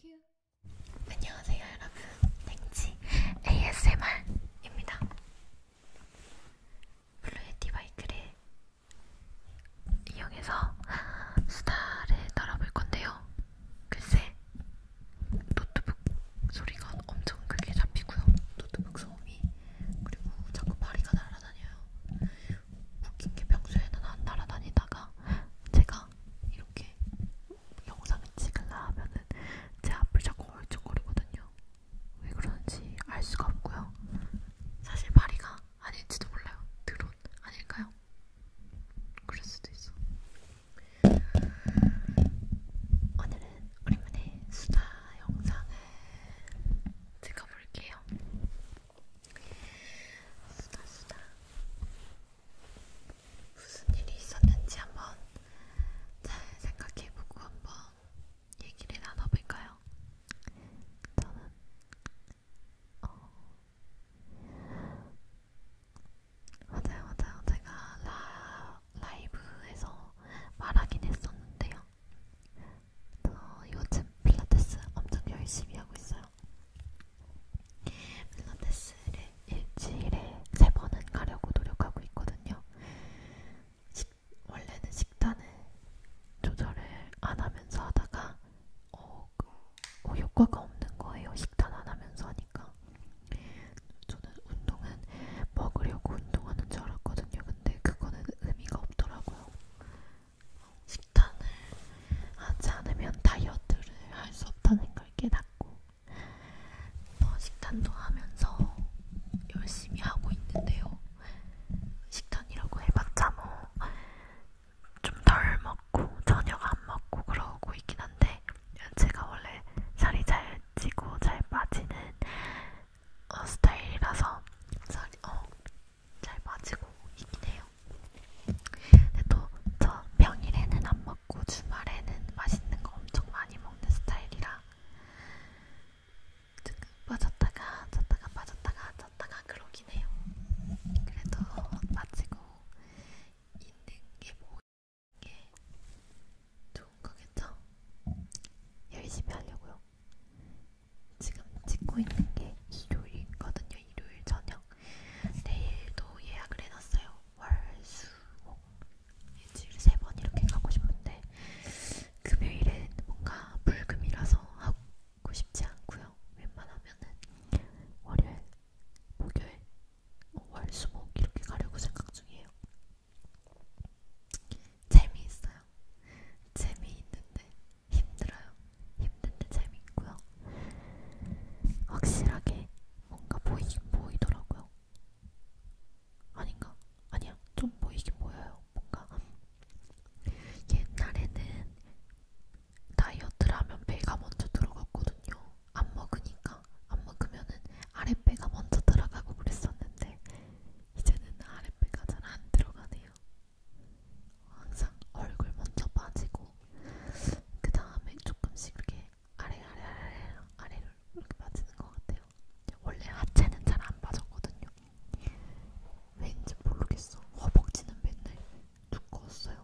큐. 안녕하세요 여러분 냉지 ASMR입니다 블루에티 바이크를 이용해서 수다를 떨어볼 건데요 글쎄 노트북 소리가 엄청 크게 잡히고요 노트북 소음이 그리고 자꾸 파리가 날아다녀요 웃긴 게 평소에는 안 날아다니다가 제가 제가 이렇게 영상을 찍으려 하면은 제 앞을 자꾸 얼쩡거리거든요. 왜 그런지 알 수가 없고요. 사실 파리가 아닐지도 몰라요. 드론 아닐까요? 그럴 수도 있어. 오늘은 오랜만에 수다 영상을 찍어볼게요. 수다 수다 무슨 일이 있었는지 한번 잘 생각해보고 한번 얘기를 나눠볼까요? 저는 어 맞아요 맞아요 제가 라, 라이브에서 말하긴 했었는데요 저 요즘 필라테스 엄청 열심히 하고 있어요 필라테스를 일주일에 세 번은 가려고 노력하고 있거든요. 식, 원래는 식단을 조절을 안 하면서 하다가 어, 그, 어, 효과가 없는 거예요. 식단 안 하면서 하니까. 저는 운동은 먹으려고 운동하는 줄 알았거든요. 근데 그거는 의미가 없더라고요. 식단을 하지 않으면 다이어트를 할 수 없다는 걸 깨닫고 어, 식단도 하면서 열심히 하고 있는데요. 식단이라고 해봤자 뭐 좀 덜 먹고 저녁 안 먹고 그러고 있긴 한데 제가 원래 살이 잘 찌고 잘 빠지는 어, 스타일이라서 살이 어, 잘 빠지고 있긴 해요. 근데 또저 평일에는 안 먹고 주말에는 맛있는 거 엄청 많이 먹는 스타일이라 조금 빠졌다가 쪘다가 빠졌다가 쪘다가 그러긴 해요. 그래도 마치고 있는 게 모이는 뭐 게 좋은 거겠죠? 열심히 하려고요. 지금 찍고 있는 게 일요일이거든요. 일요일 저녁. 내일도 예약을 해놨어요. 월수목 일주일에 세번 이렇게 가고 싶은데 금요일은 뭔가 불금이라서 하고 싶지 않고요. 웬만하면은 월요일, 목요일, 뭐 월수목 이렇게 가려고 생각 중이에요. 재미있어요. 재미있는데 힘들어요. 힘든데 재밌고요. 확실하게 뭔가 보이 보이더라고요. 아닌가? 아니야, 좀 보이긴 보여요. 뭔가 옛날에는 다이어트를 하면 배가 먼저 들어갔거든요. 안 먹으니까 안 먹으면은 아랫배가 먼저 들어가고 그랬었는데 이제는 아랫배가 잘 안 들어가네요. 항상 얼굴 먼저 빠지고 그 다음에 조금씩 이렇게 아래 아래 아래 아래로 이렇게 빠지는 것 같아요. 원래 하체는 잘안 빠졌거든요. 왠지 모르겠어. 허벅지는 맨날 두꺼웠어요.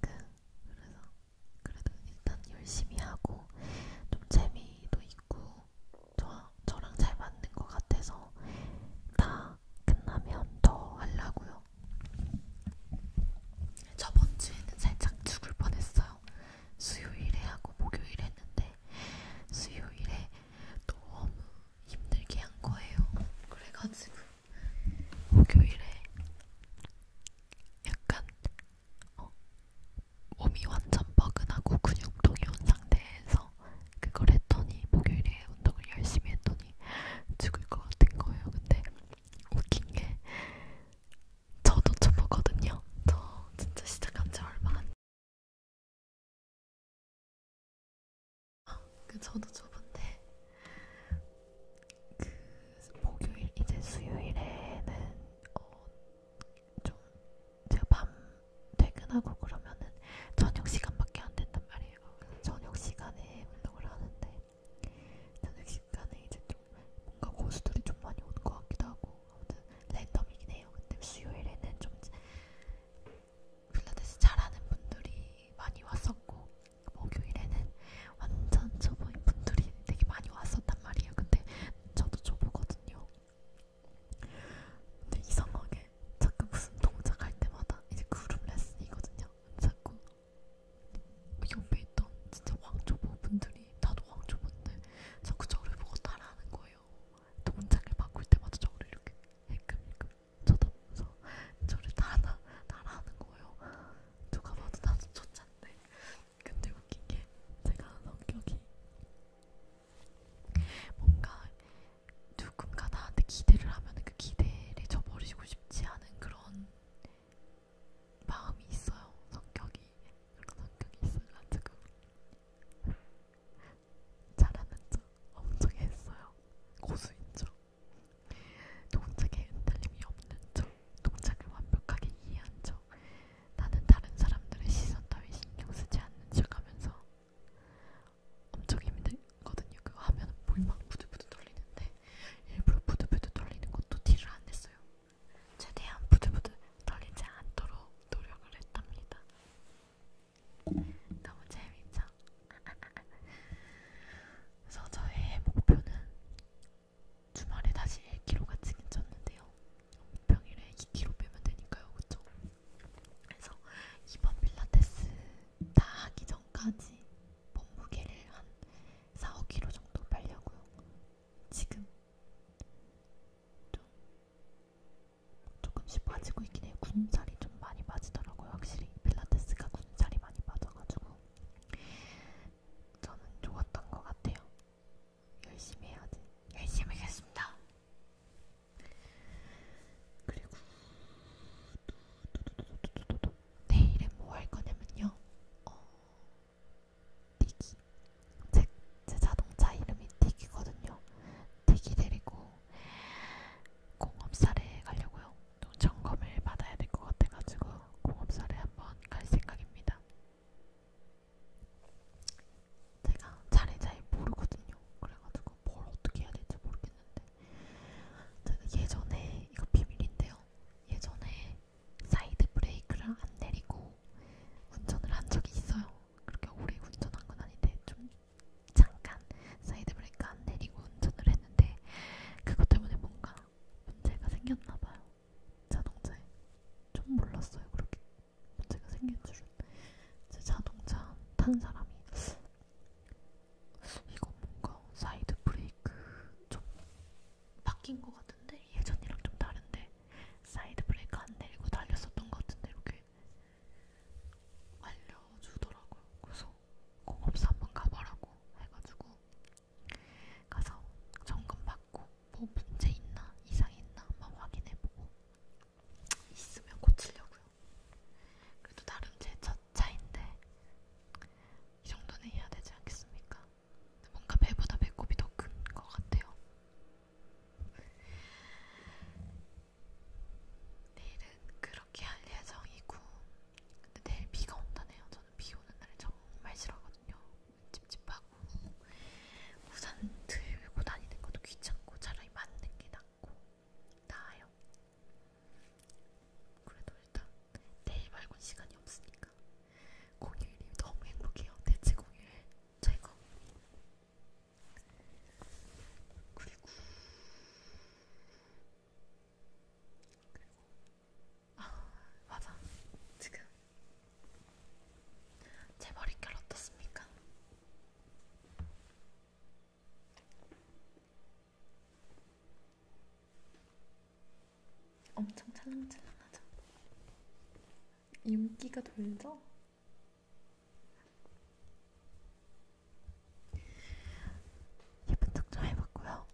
그, 그래서 그래도 일단 열심히 하고 좀 재미도 있고 저, 저랑 잘 맞는 것 같아서 다 끝나면 더 하려고요. 저번 주에는 살짝 죽을 뻔했어요. 수요일에 하고 목요일에 했는데 수요일에 너무 힘들게 한 거예요. 그래가지고 목요일에 약간 어, 몸이 완전 뻐근하고 근육통이 온 상태에서 그래서 그걸 했더니 목요일에 운동을 열심히 했더니 죽을 것 같은 거예요. 근데 웃긴 게 저도 쳐보거든요. 저 진짜 시작한 지 얼마 안그 저도 저번에 그 목요일 이제 수요일에는 어, 좀 제가 밤 퇴근하고 그러면은 저녁 시간밖에 안 된단 말이에요. 저녁 시간에 운동을 하는데 저녁 시간에 이제 좀 뭔가 고수들이 좀 많이 온것 같기도 하고 아무튼 랜덤이긴 해요. 근데 수요일에는 좀 필라테스 잘하는 분들이 많이 왔었고 목요일에는 완전 초보인 분들이 되게 많이 왔었단 말이에요. 근데 저도 초보거든요. 근데 이상하게 자꾸 무슨 동작할 때마다 이제 그룹 레슨이거든요. 자꾸 옆에 있던 진짜 왕초보 분들이 나도 왕초보인데 자꾸 저를 보고 따라하는 거예요. 동작을 바꿀 때마다 저를 이렇게 힐끔힐끔 쳐다보면서 저를 따라, 따라하는 거예요. 누가 봐도 나도 좋잖네. 근데 웃긴 게 제가 성격이 뭔가 누군가 나한테 기대를 하면 그 기대를 저버리고 싶지 않은 그런 마음이 있어요. 성격이 그런 성격이 있어가지고 잘하는 척 엄청 했어요. 고수인 척. 동작에 흔들림이 없는 척. 동작을 완벽하게 이해한 척. 나는 다른 사람들의 시선 따위 신경 쓰지 않는 척하면서 엄청 힘들거든요. 그거 하면 볼막 부들부들 떨리는데 일부러 부들부들 떨리는 것도 티를 안 냈어요. 최대한 부들부들 떨리지 않도록 노력을 했답니다. 너무 재밌죠? 그래서 저의 목표는 주말에 다시 1kg가 치긴 쪘는데요. 평일에 2kg 빼면 되니까요, 그쵸? 그래서 이번 필라테스 다 하기 전까지 몸무게를 한 4, 5kg 정도 빼려고요. 지금 좀 조금씩 빠지고 있긴 해요. 군살이 좀 많이 빠지더라고요. 확실히 필라테스가 군살이 많이 빠져가지고 저는 좋았던 것 같아요. 열심히 해야지. 열심히 하겠습니다. 그리고 내일은 네, 뭐할 거냐면요. 어, 디기. 제, 제 자동차 이름이 디기거든요. 디기 데리고 공업사례 가려고요. 또 점검을 받아야 될 것 같아가지고 공업사례 한번 갈 생각입니다. 제가 자리 잘 모르거든요. 그래가지고 막뭘 어떻게 해야 될지 모르겠는데 제가 예전에 이거 비밀인데요. 예전에 사이드 브레이크를 안 내리고 운전을 한 적이 있어요. 그렇게 오래 운전한 건 아닌데 좀 잠깐 사이드 브레이크 안 내리고 운전을 했는데 그것 때문에 뭔가 문제가 생겼나 봐요. 자동차에 좀 몰랐어요. 그렇게 문제가 생긴 줄은 제 자동차 탄 사람이 이거 뭔가 사이드 브레이크 좀 바뀐 것 같은데 예전이랑 좀 다른데 사이드 브레이크 안 내리고 달렸었던 것 같은데 이렇게 알려주더라고요. 그래서 공업사 한번 가봐라고 해가지고 가서 점검 받고 뭐 문제 있나 이상 있나 한번 확인해보고 있으면 고치려고요. 그래도 나름 제첫 차인데 이 정도는 해야 되지 않겠습니까? 뭔가 배보다 배꼽이 더 큰 것 같아요. 내일은 그렇게 할 예정이고 근데 내일 비가 온다네요. 저는 비 오는 날이 정말 싫어하거든요. 찝찝하고 우산 들고 다니는 것도 귀찮고 차라리 맞는 게 나은 낫고 나아요. 그래도 일단 내일 말곤 시간이 없으니까 공휴일이 너무 행복해요. 대체 공휴일 최고. 그리고 그리고 아 맞아 지금 제 머릿결 어떻습니까? 엄청 찰랑찰랑하죠? 윤기가 돌죠? 예쁜 척좀 해봤고요.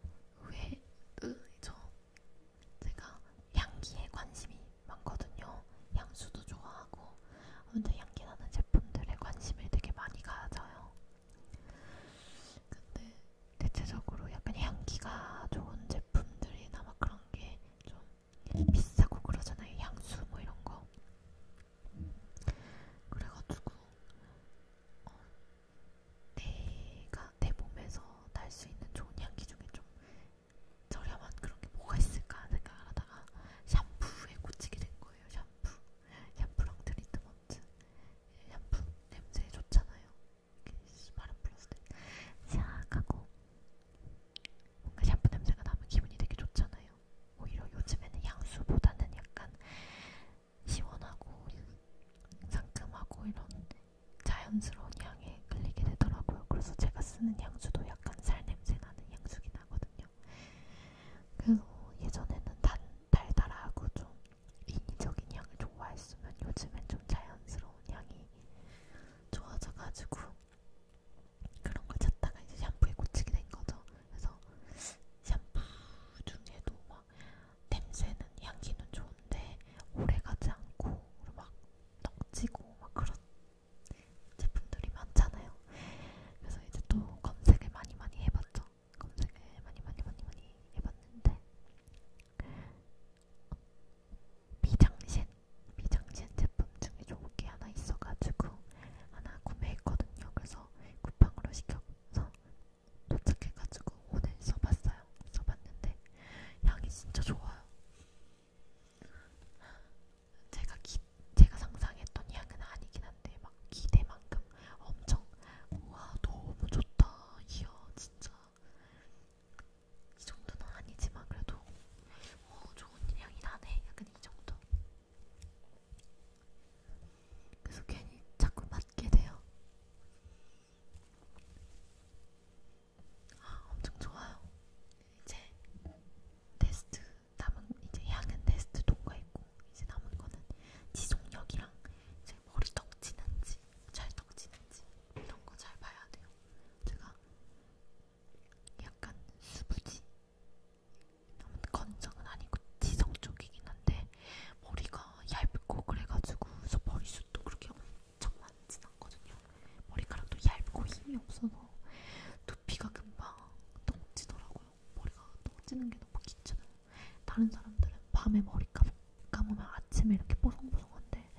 왜 으이죠? 제가 향기에 관심이 많거든요. 향수도 좋아하고 아무튼 향기 나는 제품들에 관심이 되게 많이 가져요. 근데 대체적으로 약간 향기가 좋은 제품들이나 막 그런 게 좀 비싸고 그러잖아요. 향수 뭐 이런 거. 그래가지고 어, 내가 내 몸에서 날 수 있는 좋은 향기 중에 좀 저렴한 그런 게 뭐가 있을까 생각하다가 샴푸에 꽂히게 된 거예요. 샴푸. 샴푸, 샴푸랑 트리트먼트. 샴푸 냄새 좋잖아요. 이렇게 바람 불었을 때샥 하고 뭔가 샴푸 냄새가 나면 기분이 되게 좋잖아요. 오히려 요즘에는 향수보다는 약간 시원하고 상큼하고 이런 자연스러운 향에 끌리게 되더라고요. 그래서 제가 쓰는 향수도 약간 살 냄새 나는 향수긴 하거든요. 있거든요. 그래서 예전에는 단, 달달하고 좀 인위적인 향을 좋아했으면 요즘엔 좀 자연스러운 향이 좋아져가지고 그런 걸 찾다가 이제 샴푸에 꽂히게 된 거죠. 그래서 샴푸 중에도 막 냄새는 향기는 좋은데 오래 가지 않고 막 넉지고 막 그런 제품들이 많잖아요. 그래서 이제 또 검색을 많이 많이 해봤죠. 검색을 많이 많이 많이 많이 해봤는데 미장신 미장신 제품 중에 좋은 게 하나 있어가지고 하나 구매했거든요. 그래서 쿠팡으로 시켜서 도착해가지고 오늘 써봤어요. 써봤는데 향이 진짜 좋아요. 제가 기, 제가 상상했던 향은 아니긴 한데 막 기대만큼 엄청 우와 너무 좋다 이야 진짜 이 정도는 아니지만 그래도 오 어, 좋은 향이 나네 약간 이 정도 그래서 괜히 자꾸 맡게 돼요 아 엄청 좋아요 이제 테스트 남은 이제 향은 테스트 통과했고 이제 남은 거는 지속력이랑 이제 머리 떡지는지 잘 떡지는지 이런 거 잘 봐야 돼요. 제가 약간 수부지 너무 건성은 아니고 지성 쪽이긴 한데 머리가 얇고 그래가지고 머리숱도 그렇게 엄청 많진 않거든요. 머리카락도 얇고 힘이 없어서 두피가 금방 떡지더라고요. 거예요. 머리가 떠지는 게 너무 귀찮아요. 다른 사람들은 밤에 머리 감으면 아침에 이렇게 뽀송뽀송한데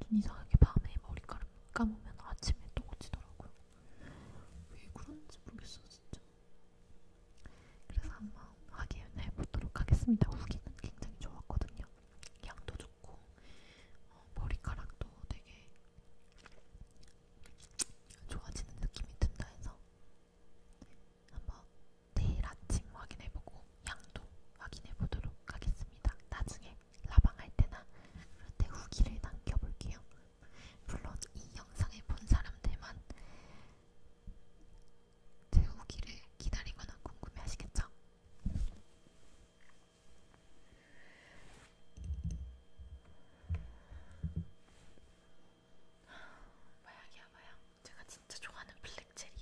좀 이상하게 밤에 머리 감으면 아침에 떠지더라고요. 왜 그런지 모르겠어요, 진짜. 그래서 한번 확인해 보도록 하겠습니다. 후기는 굉장히 좋았거든요. 양도 좋고 어, 머리카락도 되게 좋아지는 느낌이 든다 해서 한번 내일 아침 확인해보고 양도 확인해보도록 하겠습니다. 나중에 라방할 때나 그럴 때 후기를 남겨볼게요. 물론 이 영상을 본 사람들만 제 후기를 기다리거나 궁금해하시겠죠? 마약이야 마약. 제가 진짜 좋아하는 블랙젤이야.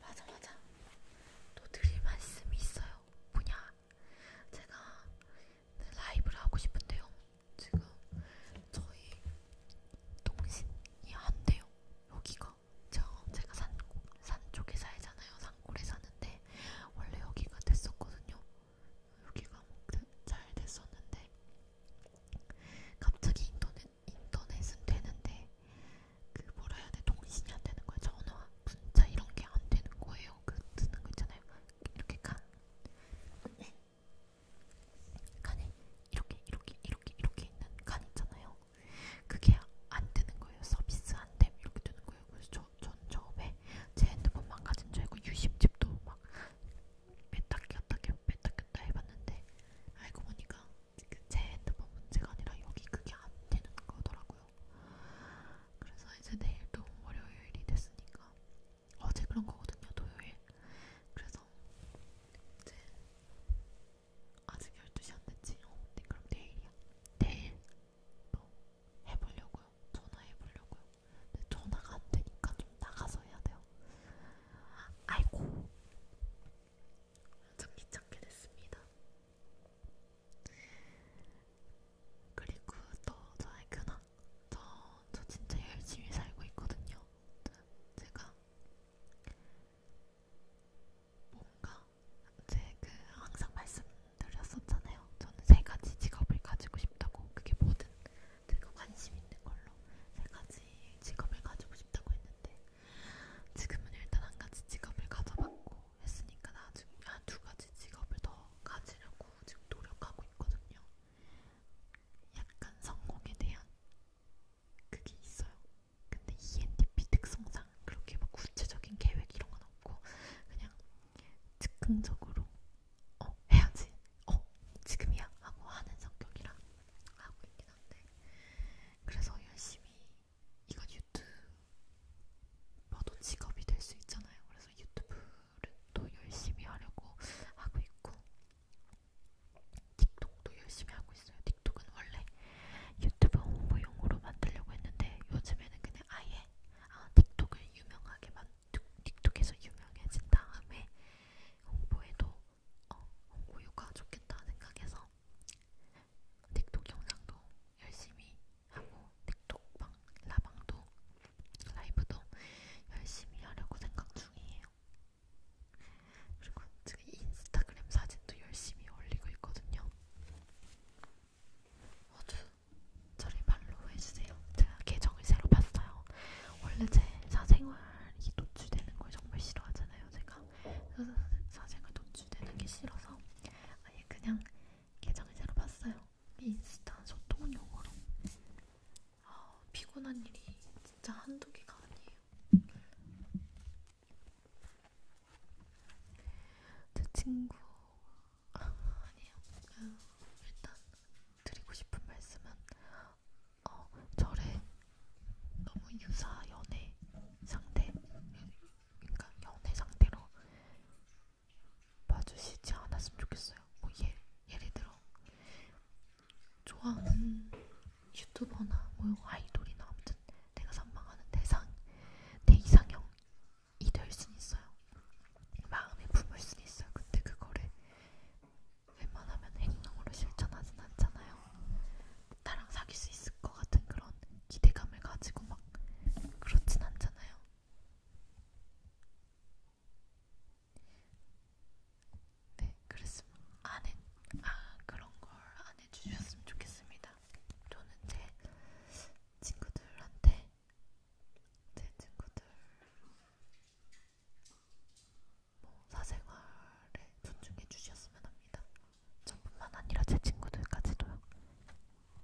맞아 맞아 또 드릴 말씀이 있어요 뭐냐 제가 라이브를 하고 싶은데요 지금 저희 통신이 안 돼요 여기가 저 제가 산, 산 쪽에 살잖아요 산골에 사는데 원래 여기가 됐었거든요 여기가 뭐 그, 잘 됐었는데 갑자기 인터넷 인터넷은 되는데 그 뭐라 해야 돼 통신이 안 되는 거야 전화 문자 이런 게 안 되는 거예요 그 뜨는 거 있잖아요 이렇게 간 간에 이렇게 이렇게 이렇게 이렇게 있는 간 있잖아요 그게 안 되는 거예요 서비스 안됨 이렇게 되는 거예요 그래서 저, 전 처음에 제 핸드폰 망가진 줄 알고 유심칩도 막 뺐다 꼈다 뺐다 꼈다 해봤는데 알고 보니까 제 핸드폰 문제가 아니라 여기 그게 안 되는 거더라고요. 그래서 이제 내일도 월요일이 됐으니까 어제 그런 거거든요, 토요일. 그래서 이제 아직 12시 안 됐지. 어, 네, 그럼 내일이야. 내일로 해보려고요. 전화해보려고요. 근데 전화가 안 되니까 좀 나가서 해야 돼요. 아이고, 엄청 귀찮게 됐습니다. 그리고 또 저의 근황, 저, 저 진짜 열심히 살고 있거든요. 제가 뭔가 제그 항상 말씀드렸었잖아요. 저는 세 가지 직업을 가지고 싶다고 그게 뭐든 제가 관심 있는 걸로 세 가지 직업을 가지고 싶다고 했는데 지금은 일단 한 가지 직업을 가져봤고 했으니까 나중에 한두 아, 가지 직업을 더 가지려고 지금 노력하고 있거든요. 약간 성공에 대한 그게 있어요. 근데 ENTP 특성상 그렇게 막 구체적인 계획 이런 건 없고 그냥 즉흥적으로 어 해야지 어 지금이야 하고 하는 성격이라 하고 있는 있긴 한데 그래서 열심히 이건 유튜버도 직업이 될 수 있잖아요. 그래서 유튜브를 또 열심히 하려고 하고 있고 틱톡도 열심히 하고 있어요. 틱톡은 원래 유튜브 홍보용으로 만들려고 했는데 요즘에는 그냥 아예 아, 틱톡을 유명하게 만 틱톡에서 유명해진 다음에 홍보에도 어, 우유가 좋겠다 생각해서 틱톡 영상도 열심히 하고 틱톡방 라방도 라이브도 열심히 하려고 생각 중이에요. 그리고 지금 인스타그램 사진도 열심히 올리고 있거든요. 모두 저를 팔로우 해주세요. 제가 계정을 새로 봤어요. 원래 제 사생활이 노출되는 걸 정말 싫어하잖아요. 제가 그래서 사진가 노출되는 게 싫어서 아예 그냥 계정을 새로 봤어요. 인스타 소통 용어로. 아, 피곤한 일이 진짜 한두 개가 아니에요. 제 친구 아, 아니에요. 아, 일단 드리고 싶은 말씀은 어, 저래 너무 유사 연애 상태, 그러니까 연애 상태로 봐주시지 않았으면 좋겠어요. 뭐 예, 예를 들어 좋아하는 유튜버나 뭐 아이돌이나 아무튼 내가 선망하는 대상, 내 이상형이 될순 있어요. 마음에 품을 순 있어요. 근데 그거를 웬만하면 행동으로 실천하진 않잖아요. 나랑 사귈 수 있을 것 같은 그런 기대감을 가지고 막 그렇진 않잖아요. 네, 그랬으면 안 해, 아, 그런 걸 안 해주셨으면 좋겠습니다. 저는 제 친구들한테, 제 친구들, 뭐 사생활을 존중해 주셨으면 합니다. 저뿐만 아니라 제 친구들까지도요.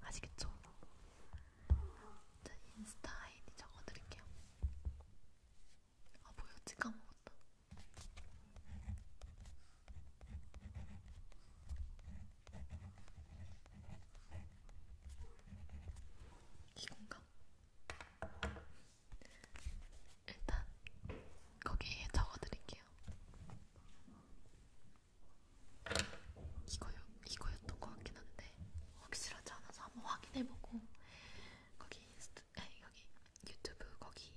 아시겠죠? 자, 인스타 아이디 적어드릴게요. 아 뭐야 까먹었다. 이건가? 일단 거기에 적어드릴게요. 이거요, 이거였던 것 같긴 한데 확실하지 않아서 한번 확인해보고 거기 인스타, 아니 여기 유튜브 거기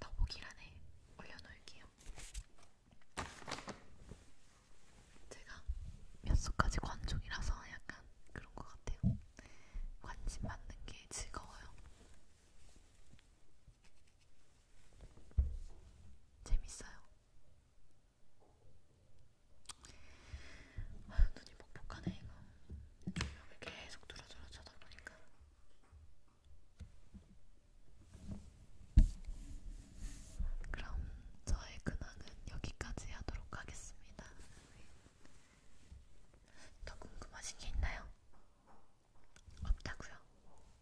더보기란에 올려놓을게요. 제가 몇 수까지 관종이라서 약간 그런 것 같아요. 관심 받는 게 즐거워요. 재밌어요. 아유, 눈이 뻑뻑하네 이거. 조명을 계속 돌아돌아 쳐다보니까. 그럼 저의 근황은 여기까지 하도록 하겠습니다. 더 궁금하신 게 있나요? 없다고요?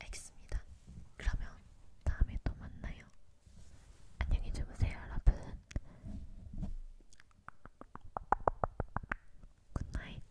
X입니다. 그러면 다음에 또 만나요. 안녕히 주무세요, 여러분. 굿나잇.